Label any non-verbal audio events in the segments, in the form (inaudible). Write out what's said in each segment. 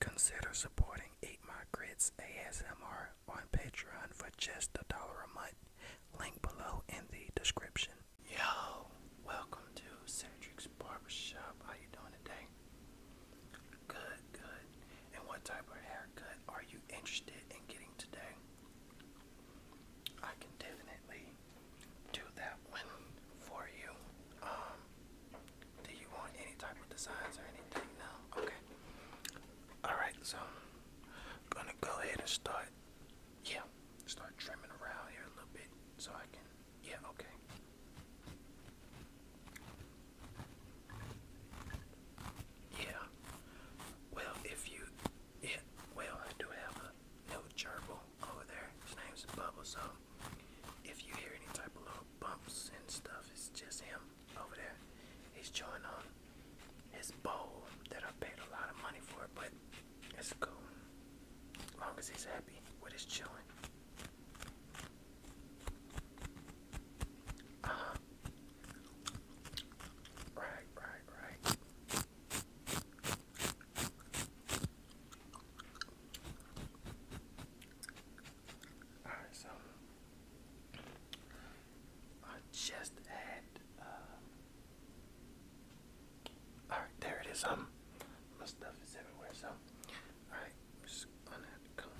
Consider supporting Eat My Grits ASMR on Patreon for just a dollar a month. Link below in the description. Yo, welcome to Cedric's Barbershop. How you doing today? Good, good and what type of haircut are you interested in getting today? I can definitely do that one for you. Um, do you want any type of designs or anything? No? Okay. Alright, so gonna go ahead and start, yeah, start trimming around here a little bit so I can, yeah, okay. Yeah. Well, if you, yeah. Well, I do have a little gerbil over there. His name's Bubble. So, if you hear any type of little bumps and stuff, it's just him over there. He's chewing on his bowl that I paid a lot of money for, but it's cool. As long as he's happy with his chewing right, right, right. All right, so I just had. all right, there it is. Um, my stuff is everywhere. So, all just going to come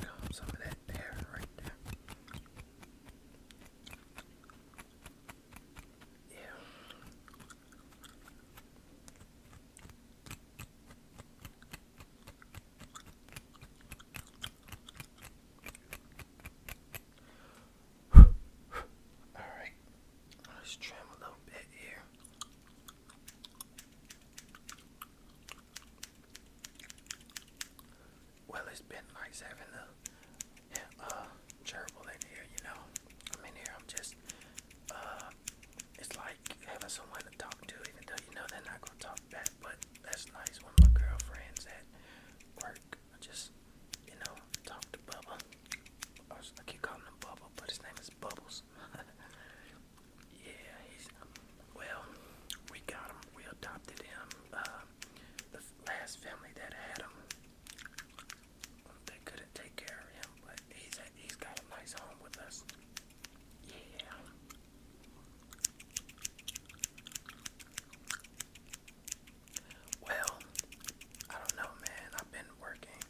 Comb some of that hair right there. Yeah. (sighs) All right, let's trim a little bit here. Well, it's been nice having the uh, gerbil in here, you know. I'm here, I'm just, uh, it's like having someone to talk to, even though you know they're not gonna talk back, but that's nice when my girlfriend's at work. I just, you know, talk to Bubba. I keep calling him Bubba, but his name is Bubbles. (laughs) yeah, he's well. We got him. We adopted him. Uh, the last family that had him, they couldn't take care of him, but he's at, he's got a nice home with us. Yeah. Well, I don't know, man. I've been working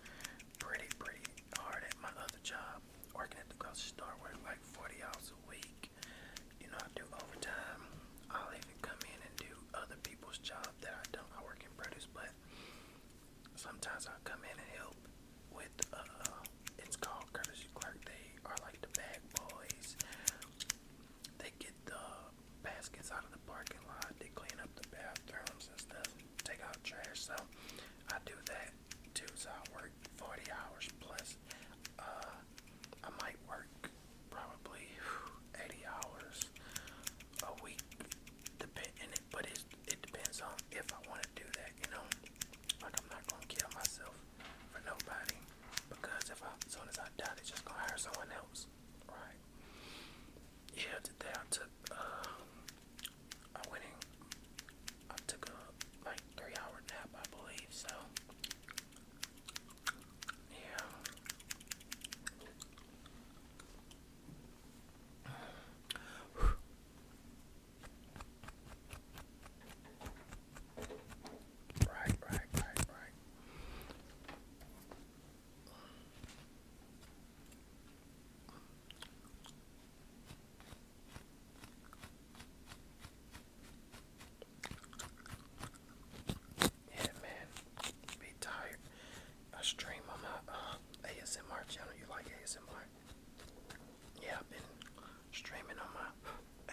pretty, pretty hard at my other job, working at the grocery store, work like 40 hours a week. You know, I do overtime. I'll even come in and do other people's job that I don't. I work in produce, but sometimes I'll come in and help with, uh, it's called courtesy clerk. They are like the bag boys. They get the baskets out of the parking lot. They clean up the bathrooms and stuff. Take out trash. So I do that. Dudes, I work 40 hours plus. Uh, I might work probably 80 hours a week, depending. But it it depends on if I want to do that, you know. Like I'm not gonna kill myself for nobody because if I, as soon as I die, they're just gonna hire someone else, right? Yeah, today I took I went in, I took a like three hour nap, I believe, so yeah. Right, right, right, right. Yeah, man. Be tired. I stream on my uh, ASMR channel. You like ASMR? Yeah, I've been streaming on my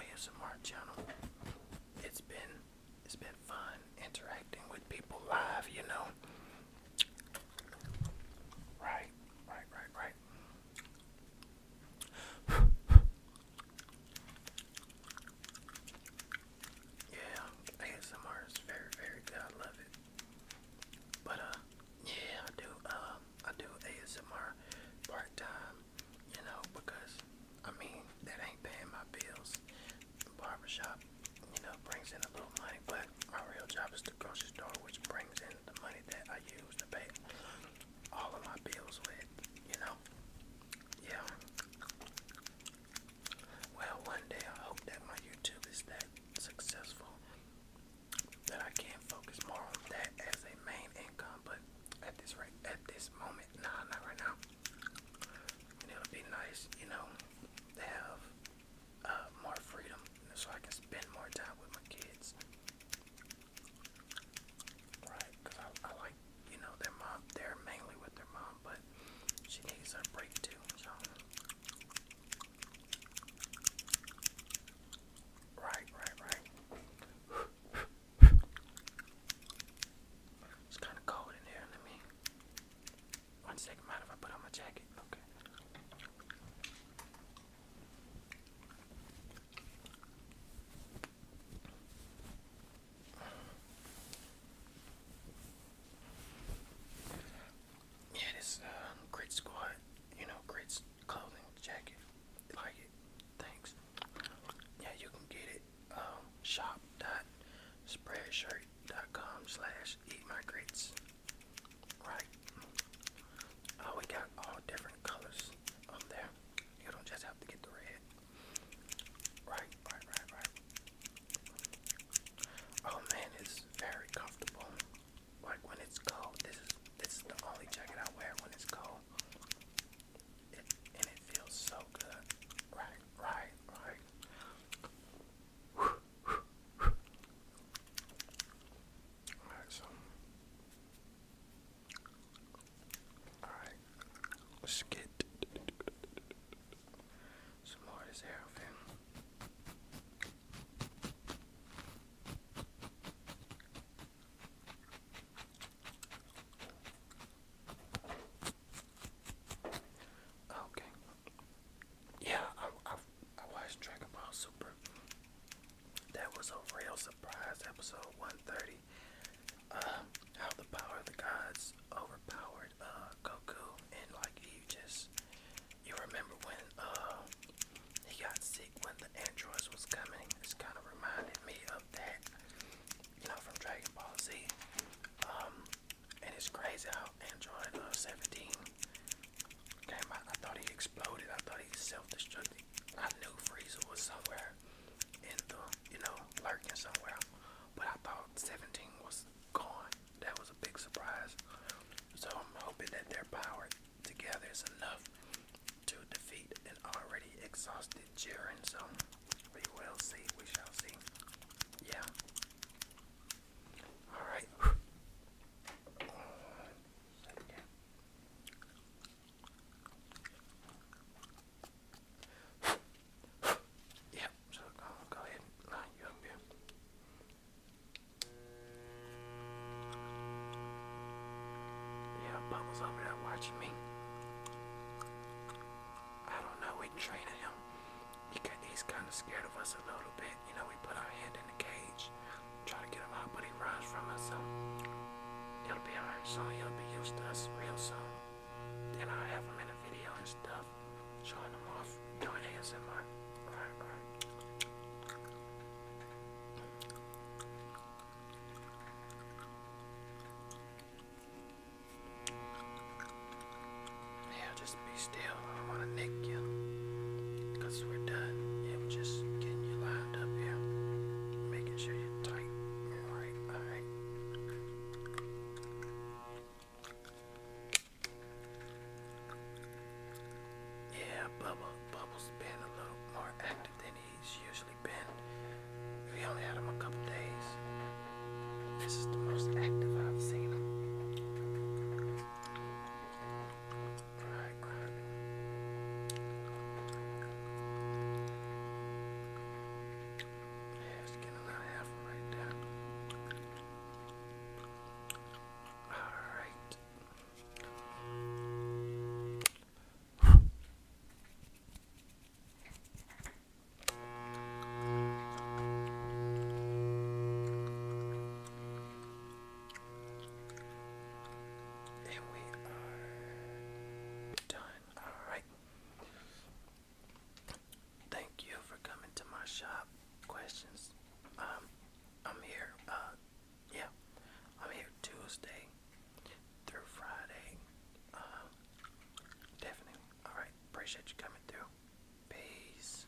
ASMR channel. It's been it's been fun interacting with people live, you know. Right, right, right, right yeah, ASMR is very, very good. I love it. But uh, yeah, I do. Um, I do ASMR part time. You know, because I mean that ain't paying my bills. The barbershop, you know, brings in a little money, but my real job is the grocery store, which brings in the money that I use to pay all of my bills with, you know? Yeah. Well, one day I hope that my YouTube is that successful that I can focus more on that as a main income, but at this right at this moment, nah, not right now. And it would be nice, you know, to have uh, more freedom so I can spend more time with my kids. Right, because I, like, you know, their mom, they're mainly with their mom, but she needs a break too, so. Right, right, right. it's kind of cold in here, let me. One second, mind if I put on my jacket? Okay. Yeah, this um, great squad, you know, great clothing jacket. Like it, thanks. Yeah, you can get it. Um, shop.spreadshirt.com slash eat my grits. Right. Oh, we got all different colors up there. You don't just have to get the red. Right, right, right, right. Oh man, it's very comfortable. Like when it's cold, this is this is the only jacket I wear when it's cold. and it feels so good. Right, right, right. Alright, so. Alright. Let's get some more of this hair off him. Okay. Yeah, I, I I watched Dragon Ball Super. That was a real surprise, episode 130. Uh, how the power of the gods overpowered uh, Goku, and like you just, you remember when uh, he got sick when the androids was coming. It's kind of reminded me of that, you know, from Dragon Ball Z. Um, and it's crazy how Android 17 Damn, I, I thought he exploded. I thought he self-destructed. I knew Frieza was somewhere in the, you know, lurking somewhere. But I thought 17 was gone. That was a big surprise. So I'm hoping that their power together is enough to defeat an already exhausted Jiren. So we will see. We shall see. Yeah. All right. Yeah, uh, Yeah, Bubba's over there watching me. I don't know, we training him. he's kind of scared of us a little bit. You know, we put our hand in the cage, try to get him out, but he runs from us. So he'll be alright soon. He'll be used to us real soon. And i have him in a video and stuff, showing him off, doing ASMR. Yeah, just be still. I don't want to nick you. Because we're done. Yeah, we're just getting you lined up here. Making sure you're tight. Alright, alright. Yeah, Bubba. Bubba's been a little more active than he's usually been. We only had him a couple days. This is the most active I've seen him. Right, right. Yeah, just get another half right there. Alright. And we are done. Alright. Thank you for coming to my shop. Questions? Um, I'm here. Uh, yeah. I'm here Tuesday through Friday. Um, definitely. Alright. Appreciate you coming through. Peace.